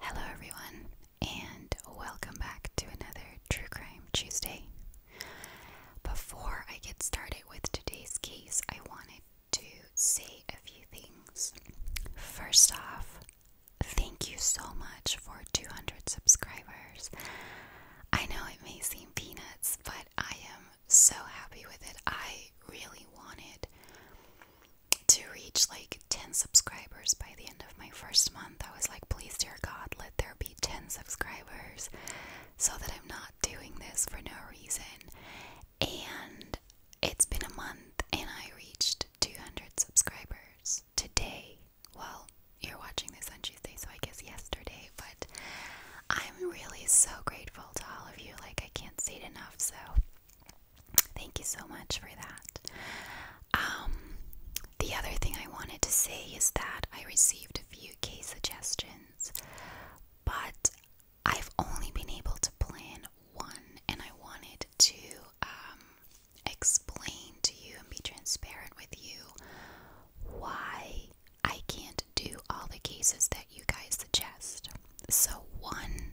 Hello, everyone, and welcome back to another True Crime Tuesday. Before I get started with today's case, I wanted to say a few things. First off, thank you so much for 200 subscribers. I know it may seem peanuts, but I am so happy with it. I really wanted to reach like 10 subscribers by the end of my first month. I was like, please, dear God, let there be 10 subscribers so that I'm not doing this for no reason. And it's been a month and I reached 200 subscribers today well, you're watching this on Tuesday, so I guess yesterday, but I'm really so grateful to all of you. Like, I can't say it enough, so thank you so much for that. Um, the other thing I wanted to say is that I received a few case suggestions, but I've only been able to plan one, and I wanted to um, explain to you and be transparent with you why I can't do all the cases that you guys suggest. So, one,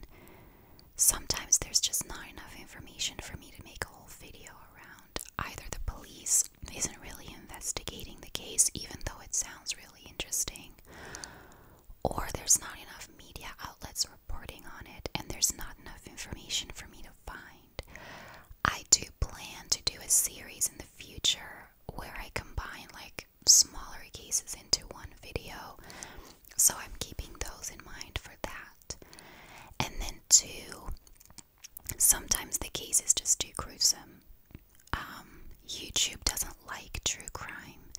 sometimes there's just not enough information for me to make a whole video around. Either the police isn't really investigating the case, even though it sounds really interesting, or there's not enough media outlets reporting on it, and there's not enough information for me to find. I do plan to do a series in the future where I combine like smaller cases into one video. So I'm keeping those in mind for that. And then, two, sometimes the case is just too gruesome. Um, YouTube doesn't like true crime,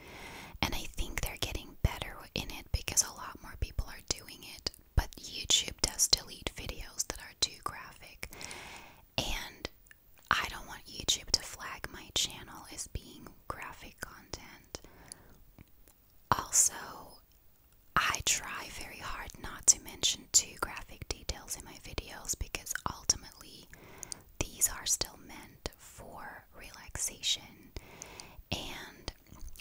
and I think they're getting better in it because a lot more people are doing it. But YouTube does delete videos that are too graphic, and I don't want YouTube to flag my channel as being graphic content. Also, I try very hard not to mention too graphic details in my videos because ultimately these are still meant for relaxation. And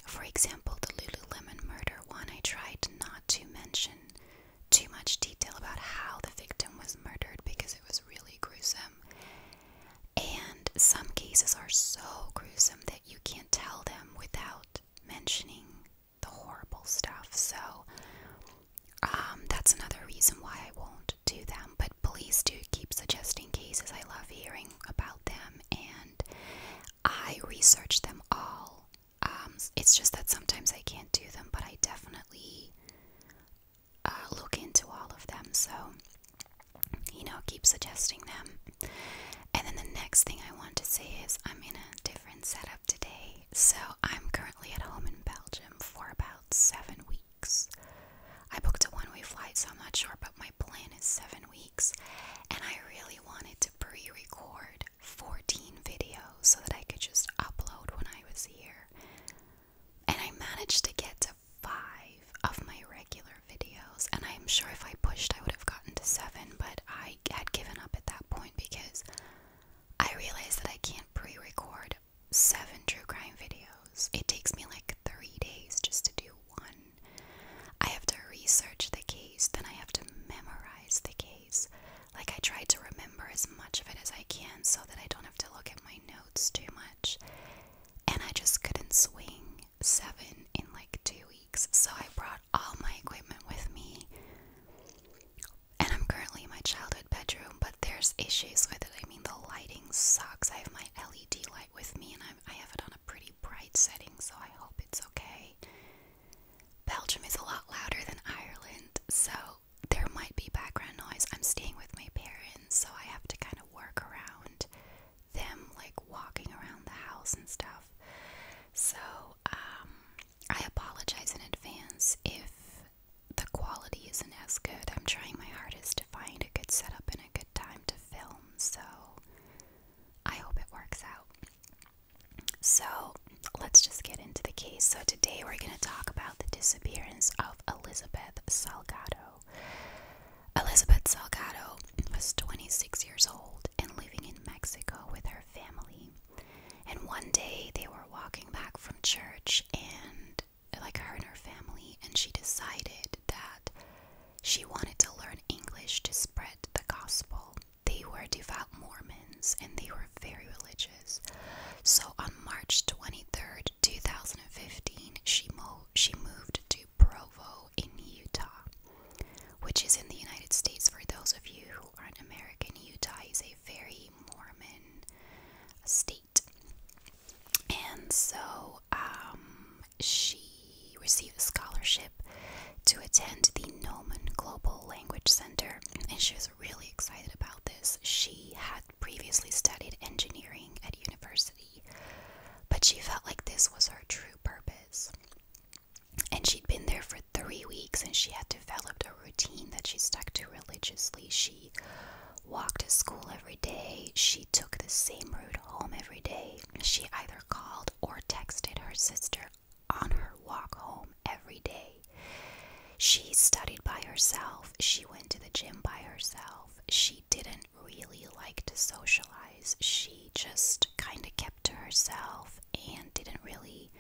for example, the Lululemon murder one, I tried not to mention too much detail about how the victim was murdered because it was really gruesome. And some cases are so gruesome that you can't tell them without mentioning the horrible stuff. So um, that's another reason why I won't do them. But please do keep suggesting cases. I love hearing about them and I research them all um, it's just that sometimes I can't do them, but I definitely uh, look into all of them. So, you know, keep suggesting them. And then the next thing I want to say is I'm in a different setup today. So, I'm currently at home in Belgium for about seven weeks. I booked a one way flight, so I'm not sure, but my plan is seven weeks. And I really wanted to pre record 14 videos so that I could just upload when I was here. And I managed to get to five of my regular videos. And I'm sure if I pushed, I would have gotten to seven, but I had given up at that point because I realized that I can't pre record seven true crime videos. It takes me like three days just to do one. I have to research the case, then I have to memorize the case. Like, I try to remember as much of it as I can so that I don't have to look at my notes too much. And I just couldn't swing seven in like two weeks, so I brought all my equipment with me. And I'm currently in my childhood bedroom, but there's issues with it. I mean, the lighting sucks. I have my LED light with me, and I have it on a pretty bright setting, so I hope it's okay. Belgium is a lot louder than Ireland, so there might be background noise. I'm staying with my parents, so I have to kind of work around them like walking around the house and stuff. So, um, I apologize in advance if the quality isn't as good. I'm trying my hardest to find a good setup and a good time to film, so I hope it works out. So let's just get into the case. So today we're going to talk about the disappearance of Elizabeth Salgado. Elizabeth Salgado was 26 years old and living in Mexico with her family. And one day they were walking back from church and like her and her family and she decided that she wanted to learn English to spread the gospel. They were devout Mormons and they were very religious. So on March 23rd, 2015, she, mo she moved to Provo in Utah, which is in the United States. For those of you who aren't American, Utah is a very Mormon state. And so um, she received a scholarship to attend the Noman Global Language Center, and she was really excited about this. She had previously studied engineering at university, but she felt like this was her true purpose. And she'd been there for three weeks and she had developed a routine that she stuck to religiously. She walked to school every day, she took the same route home every day. She either called or texted her sister on her walk home every day. She studied by herself, she went to the gym by herself, she didn't really like to socialize, she just kind of kept to herself and didn't really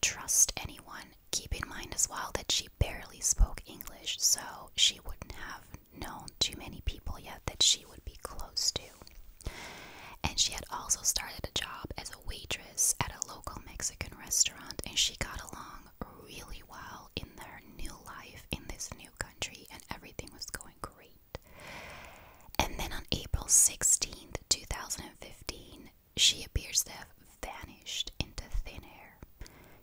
trust anyone. Keep in mind as well that she barely spoke English, so she wouldn't have known too many people yet that she would be close to. And she had also started a job as a waitress at a local Mexican restaurant, and she got along really well in their new life in this new country, and everything was going great. And then on April 16th, 2015, she appears to have vanished into thin air.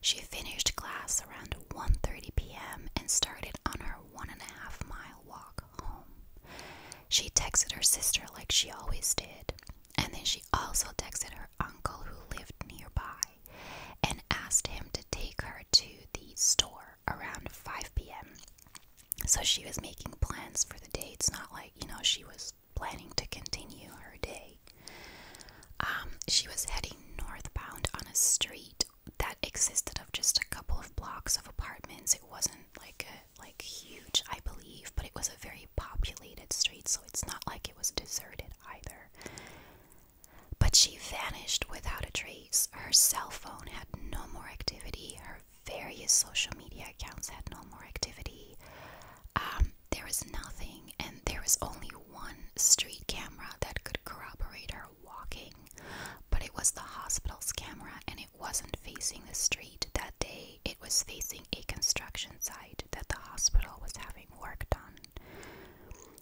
She finished class around 1:30 p.m. and started on her one and a half mile walk home. She texted her sister like she always did, and then she also texted her uncle who lived nearby and asked him to take her to the store around 5 p.m. So she was making plans for the day. It's not like, you know, she was planning to continue her day. Um, she was heading northbound on a street that existed of just a couple of blocks of apartments. It wasn't like a like huge, I believe, but it was a very populated street, so it's not like it was deserted either. But she vanished without a trace. Her cell phone had no more activity, her various social media accounts had no more activity. Um, there was nothing, and there was only one street camera that could corroborate her walking, but it was the hospital's camera and it wasn't facing the street that day it was facing a construction site that the hospital was having work done.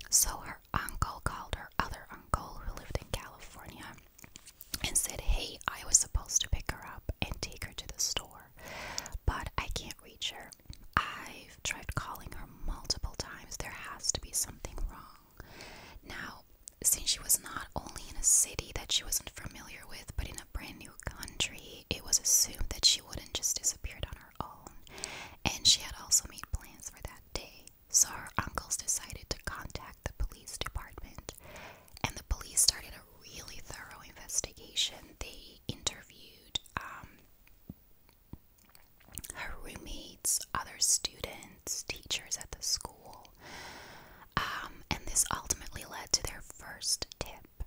So her uncle called her other uncle, who lived in California, and said, Hey, I was supposed to pick her up and take her to the store, but I can't reach her. I've tried calling her multiple times. There has to be something wrong. Now, since she was not only in a city that she wasn't familiar with, but in a brand new country, it was assumed that she wouldn't just disappear on her own, and she had also made plans for that day. So her uncles decided to contact the police department, and the police started a really thorough investigation. They interviewed um, her roommates, other students, teachers at the school, um, and this ultimately led to their first tip.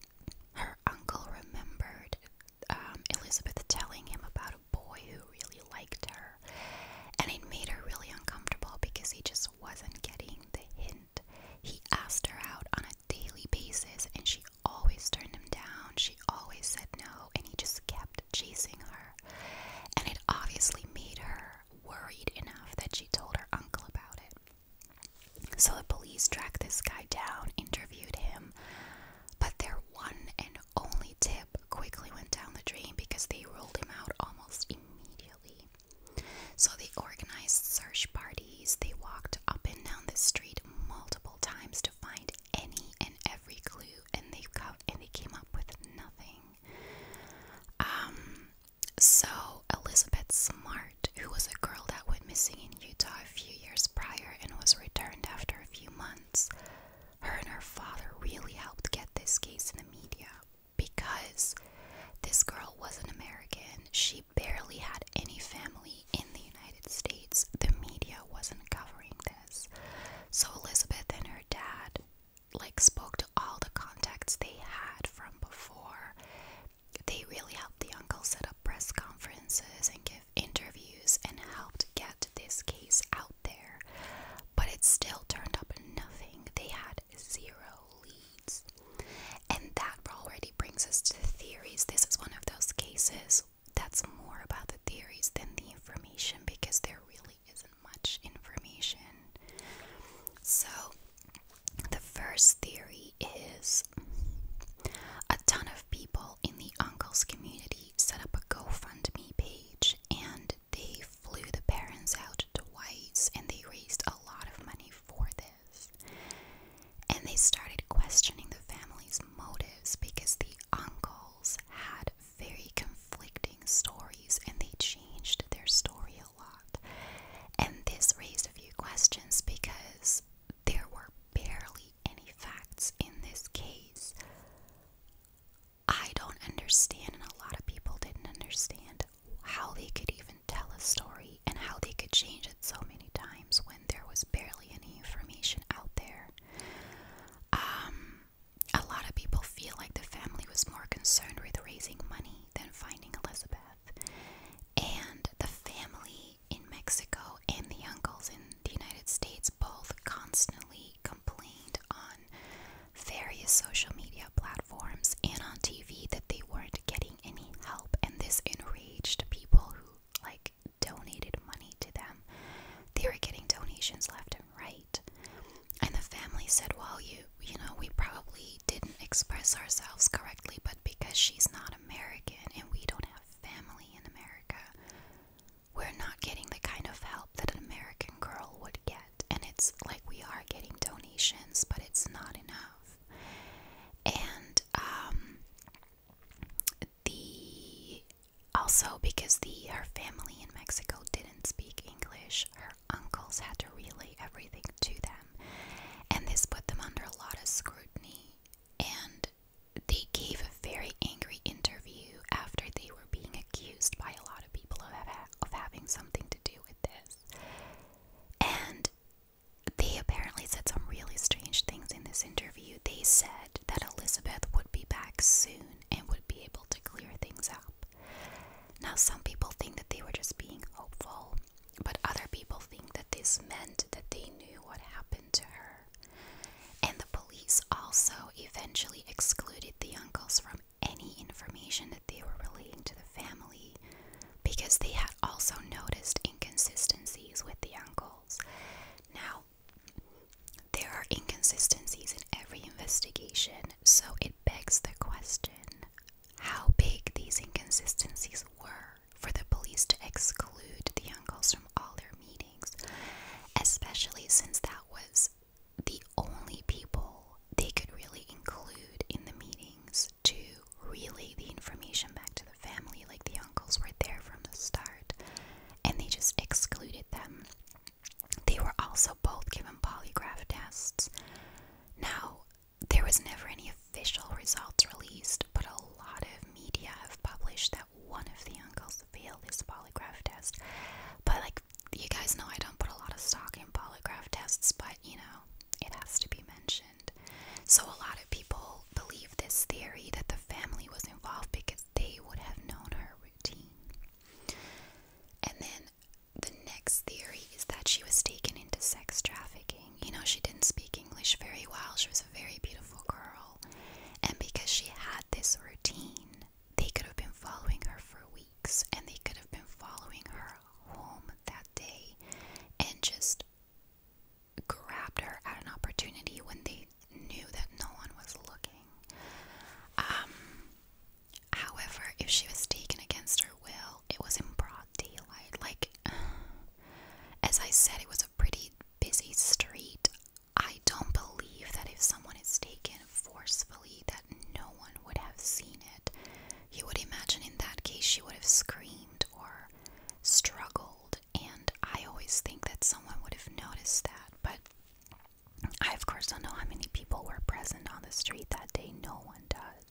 Her uncle remembered um, Elizabeth telling him about a boy who really liked her, and it made her really uncomfortable because he just wasn't getting the hint. He asked her out on a daily basis, and she always turned him down. She always said no, and he just kept chasing her. And it obviously made her worried enough that she told her uncle about it. So the police tracked this guy down, interviewed him, but their one and only tip quickly went down the drain because they rolled him out almost immediately. So they organized search parties, they walked up and down the street multiple times to find any and every clue and they and they came up with nothing. Um so, Elizabeth Smart, who was a girl that went missing in Utah a few years prior and was returned after a few months, her and her father really helped get this case in the media because this girl was an American. She barely had any family in the United States. The media wasn't covering this. So, Elizabeth and her dad like spoke to all the contacts they had from before they really helped the uncle set up press conferences and give interviews and helped get this case out there. But it still turned up nothing. They had zero leads. And that already brings us to the theories. This is one of those cases that's more about the theories than the information because there really isn't much information. So the first theory is a ton of people in the uncle's community set up a GoFundMe page and they flew the parents out to White's and they raised a lot of money for this. And they started questioning the family's motives because the uncles had very conflicting stories and they changed their story lot. And this raised a few questions because there were barely any facts in this case. I don't understand, and a lot of people didn't understand how they could even tell a story and how they could change it so many times when there was barely any information out there. Um, a lot of people feel like the family was more concerned with raising money than finding Elizabeth and the family in Mexico and the uncles in the United States both constantly complained on various social media platforms and on TV that they weren't getting any help, and this enraged people who like donated money to them. They were getting donations left and right. And the family said, Well, you you know, we probably didn't express ourselves correctly, but because she's not American and we don't have family in America, we're not getting the kind of help that an American girl would get. And it's like we are getting donations, but it's not enough. And um, the also because the her family in Mexico didn't speak English, her uncles had to relay everything to them. And this put them under a lot of scrutiny. And they gave a very angry interview after they were being accused by a lot of people of having something to do with this. And they apparently said some really strange things in this interview. They said that Elizabeth would be back soon and would be able to clear things up. Now, some people think that they were just being hopeful but other people think that this meant that they knew what happened to her. And the police also eventually excluded the uncles from any information that they were relating to the family because they had also noticed inconsistencies with the uncles. Now, there are inconsistencies in every investigation, so it begs the question how big these inconsistencies were for the police to exclude the uncles from all their meetings, especially since that was the only people they could really include in the meetings to relay the information back to the family. Like the uncles were there from the start, and they just excluded them. They were also both given polygraph tests. Now, there was never any official results released, but a lot of media have published that one of the uncles failed this polygraph test. But, like, you guys know I don't put a lot of stock in polygraph tests, but you know, it has to be mentioned. So, a lot of people believe this theory that the family was involved because they would have known her routine. And then the next theory is that she was taken into sex trafficking. You know, she didn't speak English very well. She was a very beautiful girl. And because she had this routine, they could have been following her for weeks and they could have been following her home that day and just grabbed her at an opportunity when they knew that no one was looking. Um, however, if she was taken against her will, it was in broad daylight. Like, as I said, it was a pretty busy street. I don't believe that if someone is taken forcefully, that no one would have seen it. You would imagine in that case she would have screamed or struggled, and I always think that someone would have noticed that. But I, of course, don't know how many people were present on the street that day. No one does.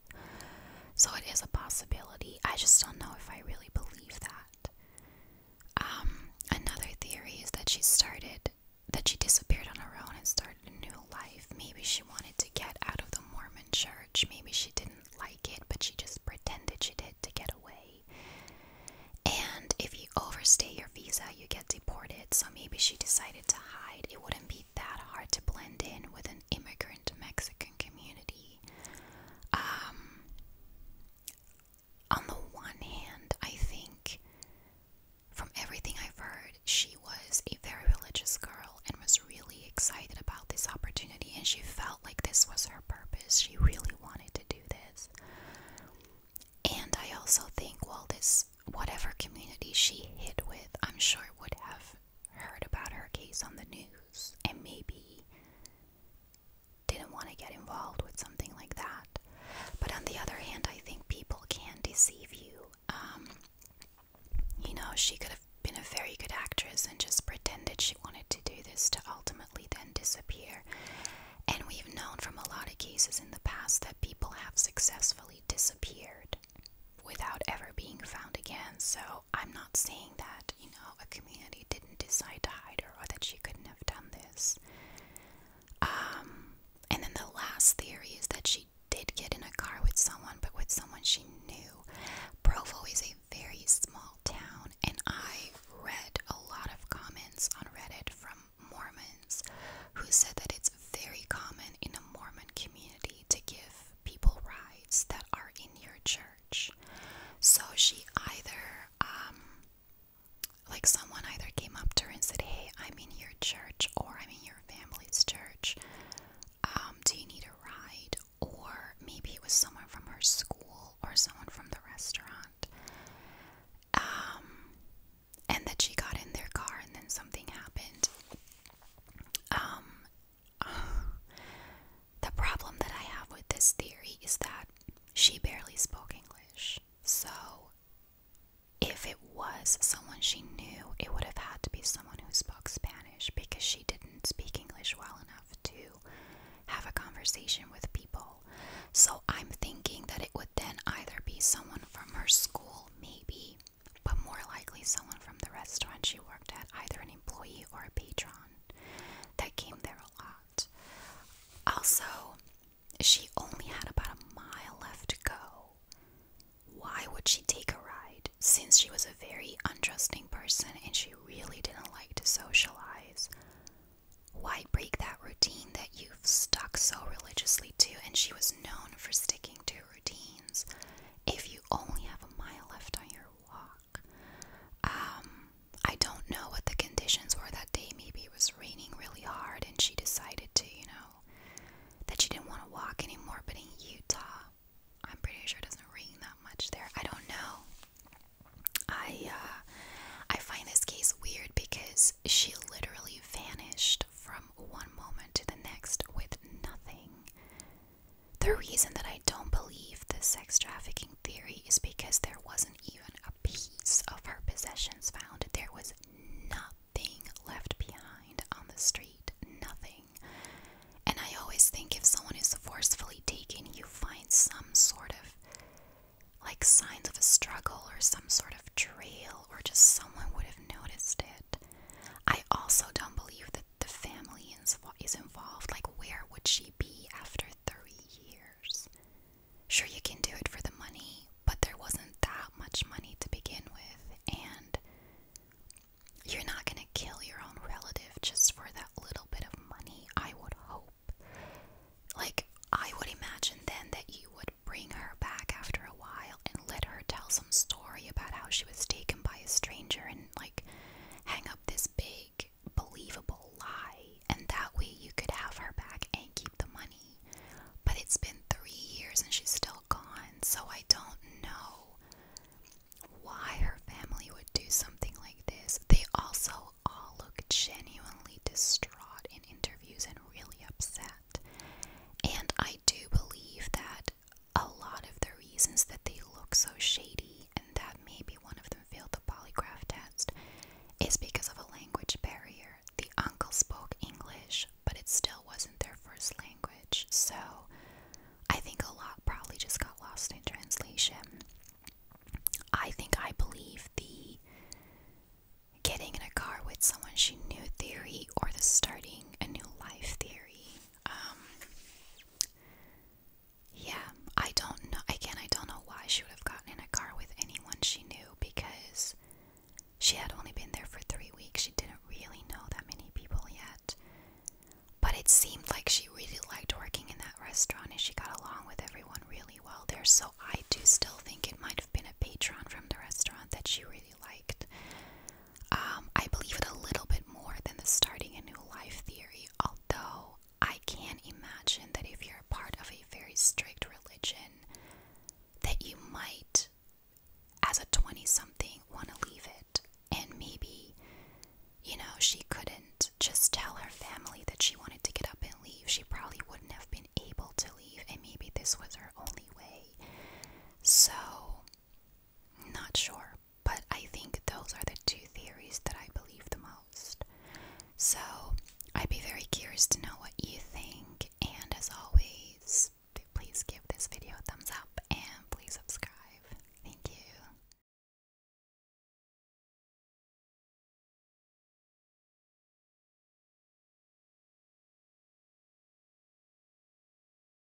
So it is a possibility. I just don't know if I really believe that. Um, another theory is that she started, that she disappeared on her own and started a new life. Maybe she wanted to get out of the Mormon church. Maybe she didn't like it, but she just pretended she did to get away. And if you overstay your visa, you get deported. So maybe she decided to hide. It wouldn't be that hard to blend in with an immigrant Mexican community. Um, on the one hand, I think from everything I've heard, she was a very religious girl and was really excited about this opportunity, and she felt like this was her purpose. She really wanted to do this. And I also think, well, this whatever community she hid with, I'm sure would have heard about her case on the news and maybe didn't want to get involved with something like that. But on the other hand, I think people can deceive you. Um, you know, she could have been a very good actress and just pretended she wanted to do this to ultimately then disappear. And we've known from a lot of cases in the past that people have successfully disappeared without ever being found again. So I'm not saying that, you know, a community didn't decide to hide her or that she couldn't have done this. Um, and then the last theory is that she did get in a car with someone, but with someone she knew. Provo is a very small town, and I read a lot of comments on Reddit from Mormons who said that it's very common in a Mormon community to give people rides that are in your church. So she either, um, like someone either came up to her and said, Hey, I'm in your church or I'm in your family's church. Um, do you need a ride? Or maybe it was someone from her school or someone from the restaurant. Um, and that she got in their car and then something happened. the problem that I have with this theory is that she barely spoke English. So, if it was someone she knew, it would have had to be someone who spoke Spanish because she didn't speak English well enough to have a conversation with people. So, I'm thinking that it would then either be someone from her school, maybe, but more likely someone from the restaurant she worked at, either an employee or a patron that came there a lot. Also, she only had about a mile left to go. Why would she take a ride since she was a very untrusting person and she really didn't like to socialize? Why break that routine that you've stuck so religiously to and she was known for sticking to routines? if you only have a mile left on your walk. Um, I don't know what the conditions were that day. Maybe it was raining really hard and she decided to, you know, that she didn't want to walk anymore. But in Utah, I'm pretty sure it doesn't rain that much there. I don't know. I uh, I find this case weird because she literally vanished from one moment to the next with nothing. The reason that I don't believe the sex trafficking theory is because there wasn't even a piece of her possessions found. There was nothing left behind on the street. Nothing. And I always think if someone is forcefully taken, you find some sort of like signs of a struggle or some sort of trail, or just someone would have noticed it. I also don't believe that the family is involved. Like, where would she be after three years? Sure, you can do it for the money, but there wasn't that much money to begin with, and you're not gonna kill your own relative just for that little bit of money, I would hope. Like, I would imagine then that you would bring her back after a while and let her tell story about how she was taken by a stranger and like hang up this big believable lie and that way you could have her back and keep the money but it's been 3 years and she's still gone so I don't know why her family would do something like this they also all look genuinely distraught in interviews and really upset and I do believe that a lot of the reasons that they look so shady and that maybe one of them failed the polygraph test is because of a language barrier. The uncle spoke English, but it still wasn't their first language, so I think a lot probably just got lost in translation. I think I believe the getting in a car with someone she knew theory or the starting a new life theory. Um Yeah, I don't know again, I don't know why she would have gotten in a car with anyone she knew because she had only been there for three weeks. She didn't really know that many people yet. But it seemed like she really liked working in that restaurant and she got along with everyone really well there. So I do still think it might have been a patron from the restaurant that she really liked. Um, I believe it a little bit more than the starting a new life theory, although I can imagine that if you're a part of a very strict religion, that you might, as a 20 something, want to leave it. And maybe, you know, she couldn't just tell her family that she wanted to get up and leave. She probably wouldn't have been able to leave, and maybe this was her only way. So, not sure. But I think those are the two theories that I believe the most. So I'd be very curious to know what you think. And as always, please give this video a thumbs up and please subscribe. Thank you.